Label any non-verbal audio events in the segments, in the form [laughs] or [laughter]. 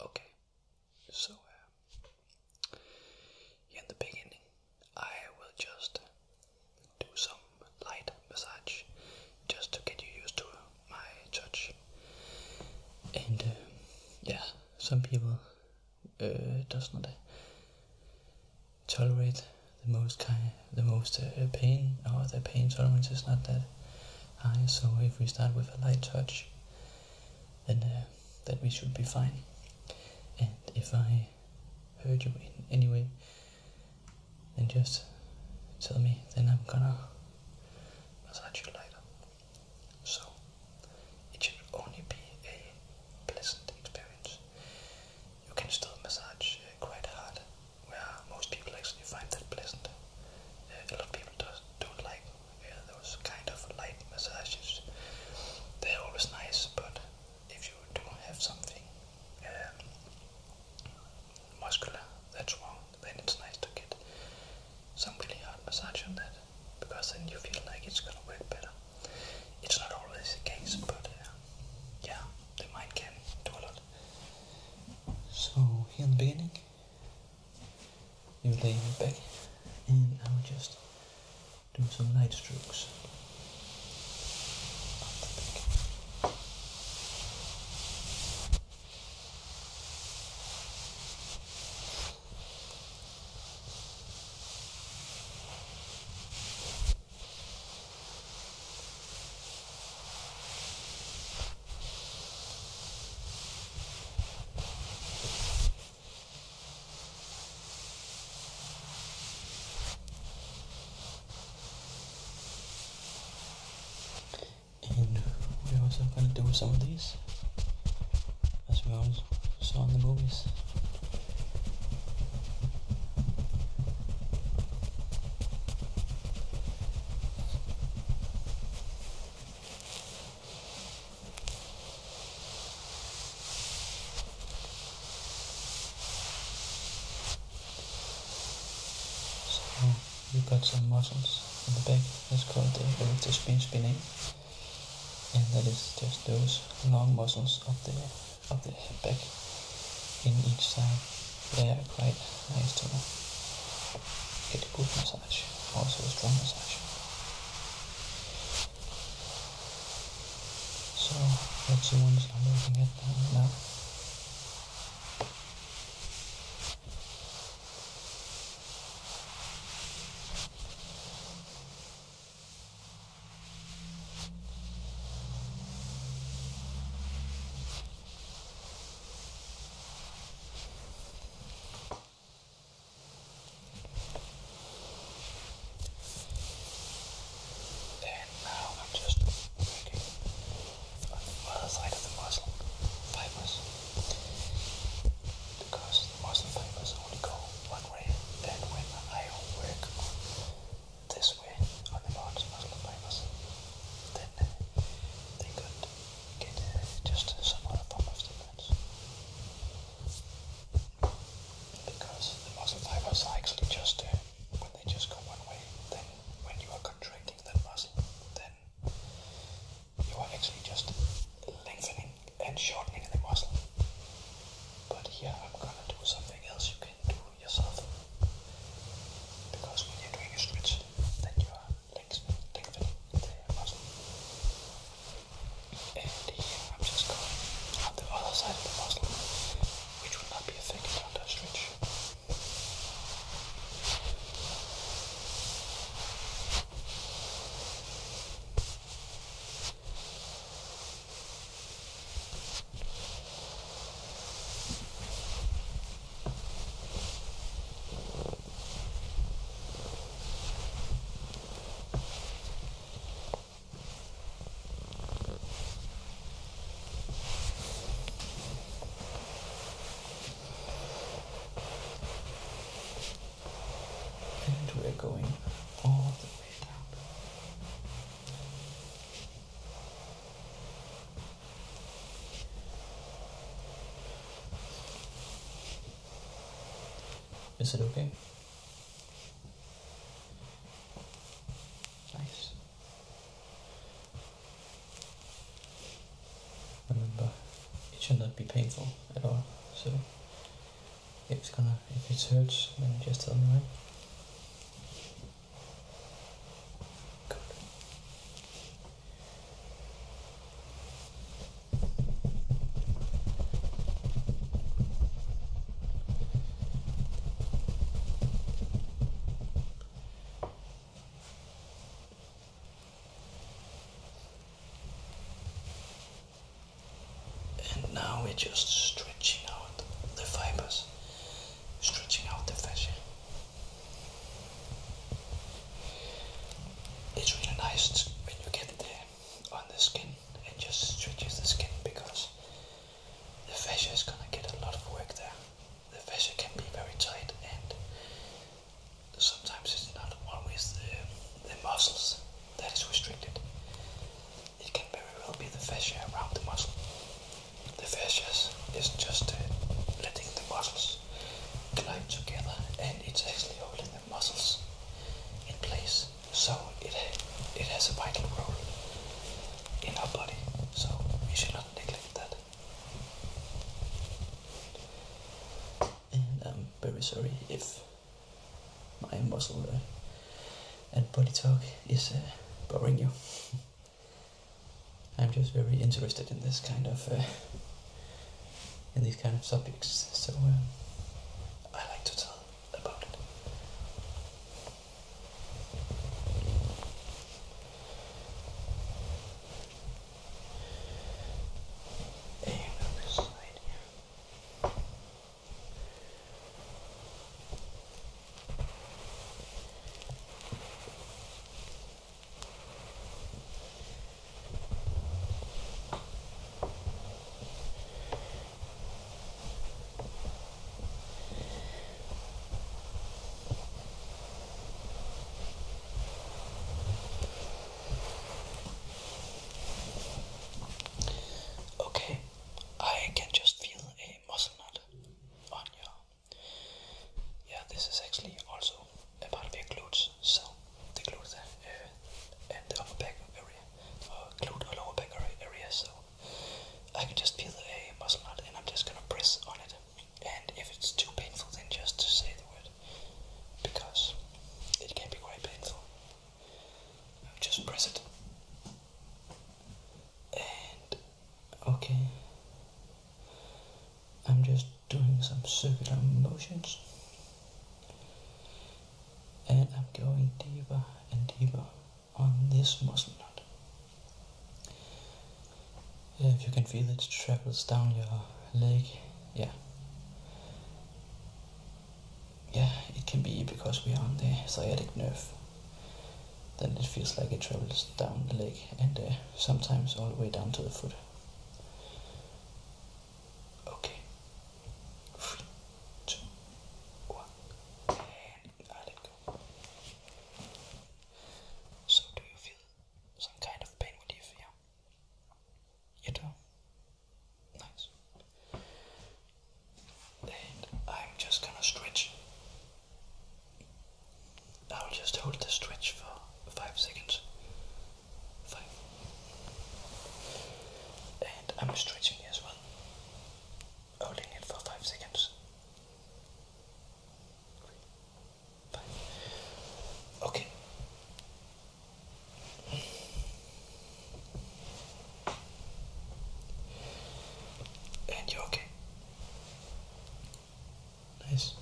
Okay, so uh, in the beginning, I will just do some light massage just to get you used to my touch. And uh, yeah, some people uh, does not tolerate the most kind, the most uh, uh, pain, or the pain tolerance is not that high. So if we start with a light touch, then uh, that we should be fine. And if I hurt you in any way, then just tell me. Then I'm gonna massage you later. So it should only be a pleasant experience. You can still massage quite hard where most people actually find that pleasant. Uh, a lot of people does, don't like uh, those kind of light massages. They're always nice, but if you do have something um, muscular that's wrong, then it's nice to get some really hard massage on that, because then you feel like it's gonna work better. It's not always the case, but uh, yeah, the mind can do a lot. So here in the beginning, you lay me back and I will just do some light strokes. And we're also gonna do some of these as we always saw in the movies. So you've got some muscles in the back, that's called the erector spin spinning, and that is just those long muscles up there of the hip back in each side. They are quite nice to get a good massage, also a strong massage. So that's the ones I'm looking at now. And now I'm just making on the other side of the muscle fibers because the muscle fibers only go one way and when I work on this way on the boards of the fibers, then uh, they could get uh, just some other form of stimulants. Because the muscle fibers are actually just, when they just go one way, then when you are contracting that muscle, then you are actually just lengthening and shortening the muscle. But here I'm gonna do something else you can do yourself. Because when you're doing a stretch, then you are lengthening the muscle. And here I'm just going on the other side of the muscle, which will not be affected under stretch. And we're going all the way down. Is it okay? Nice. Remember, it should not be painful at all. So if it's gonna, if it hurts, then just tell me. And now we're just stretching out the fibers stretching out the fascia. It's really nice when you get it there on the skin and just stretches the skin because the fascia is gonna get a lot of work there. The fascia can be very tight and sometimes it's not always the, the muscles that is restricted it can very well be the fascia around the muscle. The fascia is just uh, letting the muscles glide together and it's actually holding the muscles in place. So it, it has a vital role in our body, so we should not neglect that. And I'm very sorry if my muscle uh, and body talk is boring you. [laughs] I'm just very interested in this kind of uh, in these kind of subjects, so um, I like to tell about it. Hey, Okay, I can just feel a muscle knot yeah this is actually also a part of your glutes so the glutes uh, and the upper back area uh, glute or lower back area so I can just feel a muscle knot and I'm just gonna press on it and if it's too painful then just to say the word because it can be quite painful just press it okay, I'm just doing some circular motions and I'm going deeper and deeper on this muscle If you can feel it travels down your leg, yeah. Yeah, it can be because we are on the sciatic nerve then it feels like it travels down the leg and sometimes all the way down to the foot. Okay. Three, two, one, and I let go. So, do you feel some kind of pain relief? Yeah. You do? Nice and I'm just gonna stretch. I'll just hold the stretch for five seconds. Five. And I'm stretching as well, holding it for five seconds. Five. Okay. And you're okay. Nice.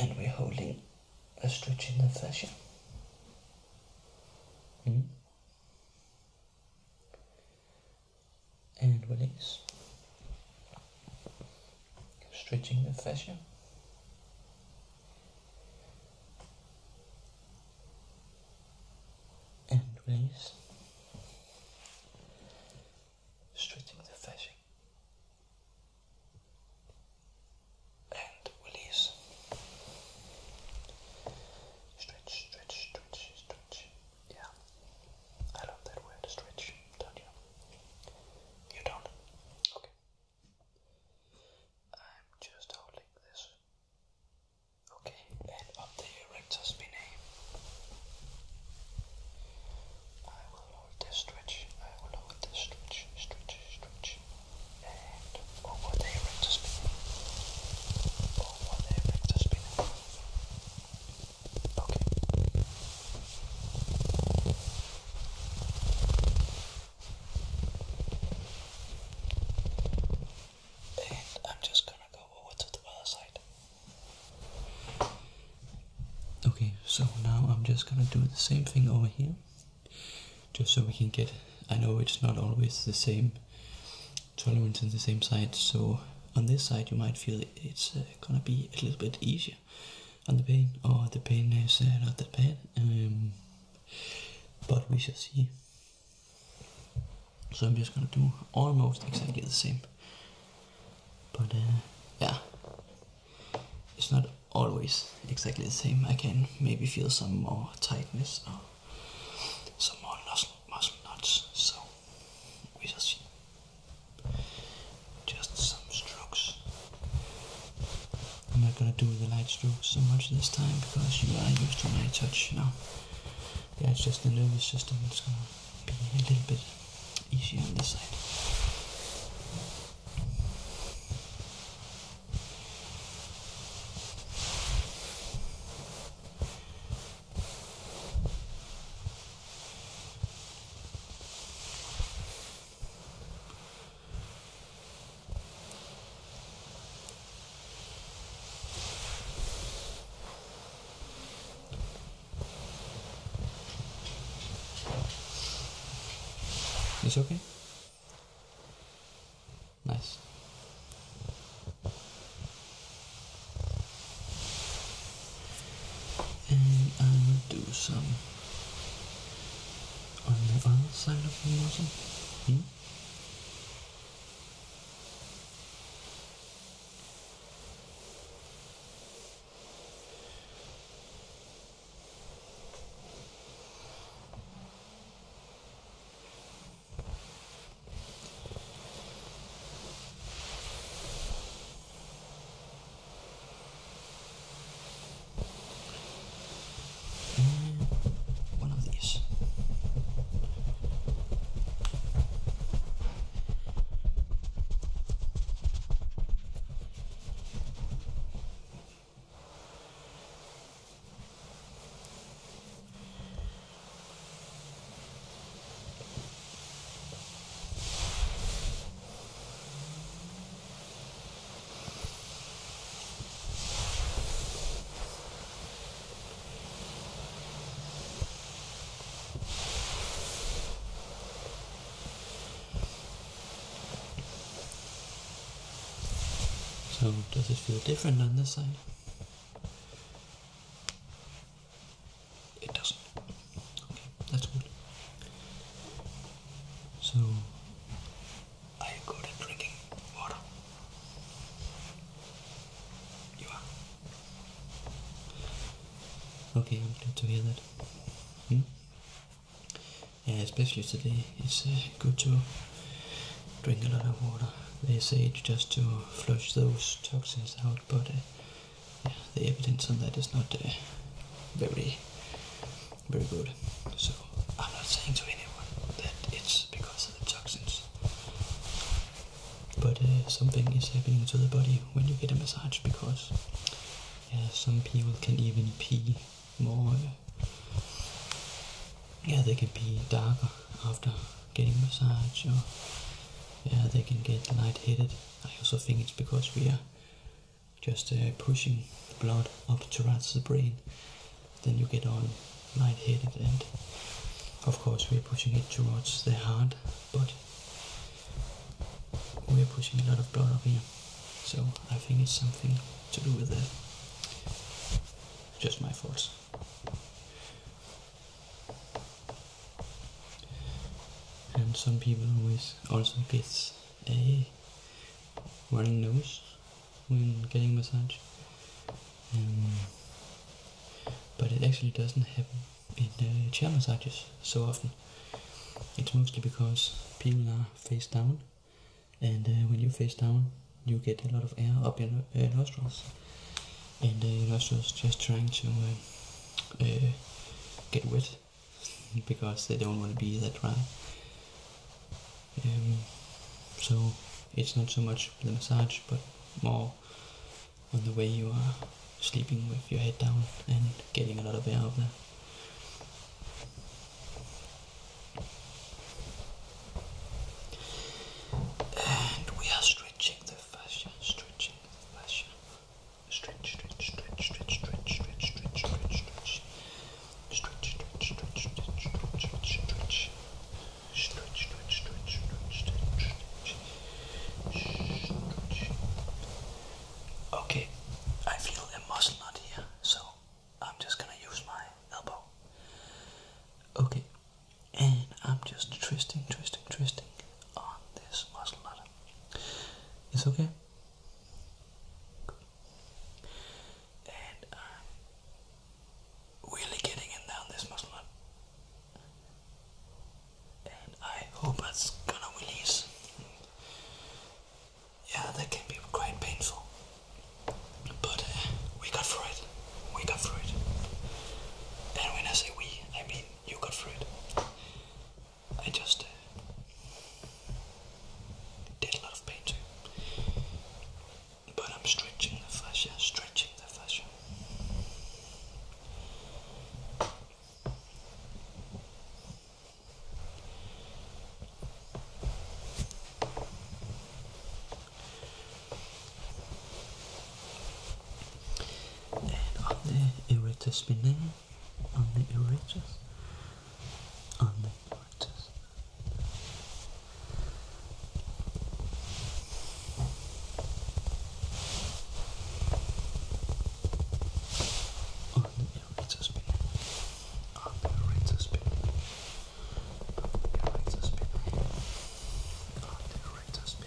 And we're holding a stretch in the fashion. Hmm? And release stretching the fascia. And release, stretching the fascia. And release. Stretch, stretch, stretch, stretch. Yeah. I love that word, stretch, don't you? You don't? Okay. I'm just holding this. Okay, and up the rectus spinae. I will hold this stretch, I will hold this stretch, stretch, stretch, and over the rectus spinae. Over the rectus spinae. Okay. And I'm just gonna go over to the other side. Okay, so now I'm just gonna do the same thing over here. Just so we can get. I know it's not always the same tolerance in the same side, so on this side you might feel it's uh, gonna be a little bit easier. on the pain, or oh, the pain is uh, not that bad. Um, but we shall see. So I'm just gonna do almost exactly the same. But uh, yeah, it's not always exactly the same. I can maybe feel some more tightness or uh, some more muscle, muscle knots. So we shall see. Just some strokes. I'm not gonna do the light strokes so much this time because you are used to my touch now. Yeah, it's just the nervous system It's gonna be a little bit easier on this side. Is okay? Nice and I will do some on the other side of the muzzle. Hmm? And one of these. So does it feel different on this side? It doesn't. Okay, that's good. So, are you drinking water? You are. Okay, I'm glad to hear that. Hmm? Yeah, especially today, it's uh, good to drink a lot of water. They say just to flush those toxins out, but uh, the evidence on that is not uh, very, very good. So I'm not saying to anyone that it's because of the toxins, but uh, something is happening to the body when you get a massage because some people can even pee more. yeah, they can be darker after getting massage, or yeah, they can get lightheaded. I also think it's because we are just uh, pushing the blood up towards the brain. Then you get on light lightheaded, and of course, we're pushing it towards the heart, but we're pushing a lot of blood up here. So I think it's something to do with that. Uh, just my thoughts and some people always also gets a running nose when getting massage um, but it actually doesn't happen in uh, chair massages so often it's mostly because people are face down and uh, when you face down you get a lot of air up your uh, nostrils and the uh, nostrils just trying to uh, get wet because they don't want to be that dry. Um, so it's not so much the massage, but more on the way you are sleeping with your head down and getting a lot of air out there. And we are stretching the fascia, stretching the fascia. Stretch, stretch, stretch, stretch, stretch, stretch, stretch, stretch, stretch. Stretch, stretch, stretch, stretch, stretch, stretch, stretch. Stretch, stretch, stretch, stretch, stretch, stretch. Stretch. Okay, I feel a muscle knot here, so I'm just gonna use my elbow. Okay, and I'm just twisting, twisting, twisting on this muscle knot. It's okay. And i um, getting in down this muscle And I hope that's gonna release. Yeah, that can be quite painful. But uh, we got through it. We got through it. And when I say we, I mean you got through it. I just uh, did a lot of painting, but I'm stretching the fascia, stretching the fascia. And on the erector spinae, on the religious, on the religious. On the irritates me. On the irritates me. On the irritates me. On the irritates me.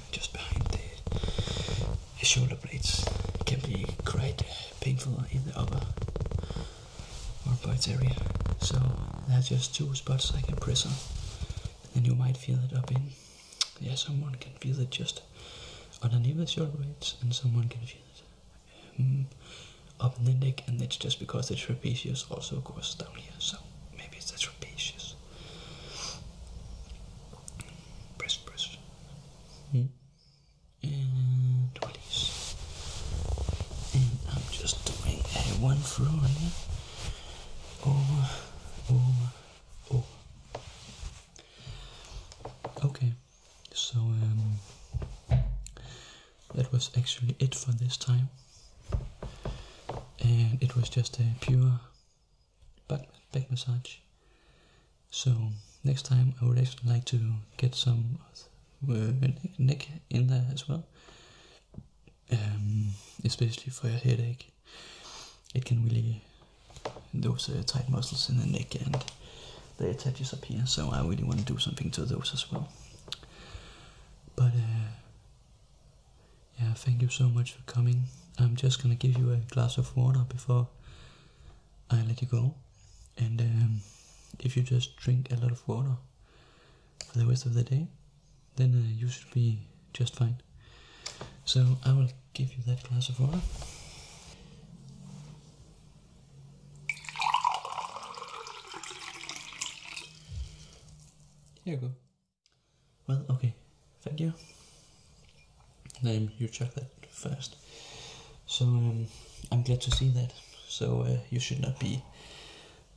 just behind the shoulder blades can be quite uh, painful in the upper armpits area. So that's just two spots I can press on. And you might feel it up in. Yeah, someone can feel it just underneath the shoulder blades and someone can feel it um, up in the neck and that's just because the trapezius also goes down here. So maybe it's the trapezius press. Press, hmm. And release. And I'm just doing a one through here. Over, over, over. Okay, so um, that was actually it for this time. And it was just a pure back, back massage. So next time I would actually like to get some uh, neck, in there as well, um, especially for your headache. It can really those uh, tight muscles in the neck and they attaches up here. So I really want to do something to those as well. But uh, yeah, thank you so much for coming. I'm just gonna give you a glass of water before I let you go. And um, if you just drink a lot of water for the rest of the day, then uh, you should be just fine. So I will give you that glass of water. Here you go. Well, okay, thank you. Then you your that first. So um, I'm glad to see that. So uh, you should not be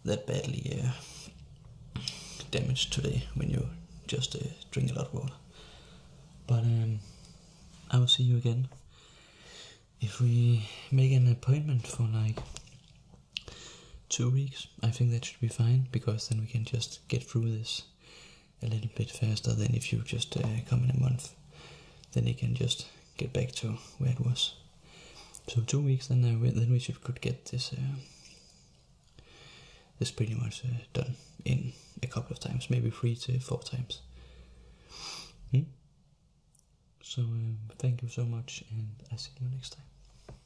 that badly uh, damaged today when you just uh, drink a lot of water. But um, I will see you again if we make an appointment for like two weeks. I think that should be fine because then we can just get through this a little bit faster than if you just uh, come in a month. Then you can just get back to where it was. So two weeks, then uh, we, then we should could get this uh, this pretty much done in a couple of times, maybe three to four times. Hmm? So um, thank you so much, and I see you next time.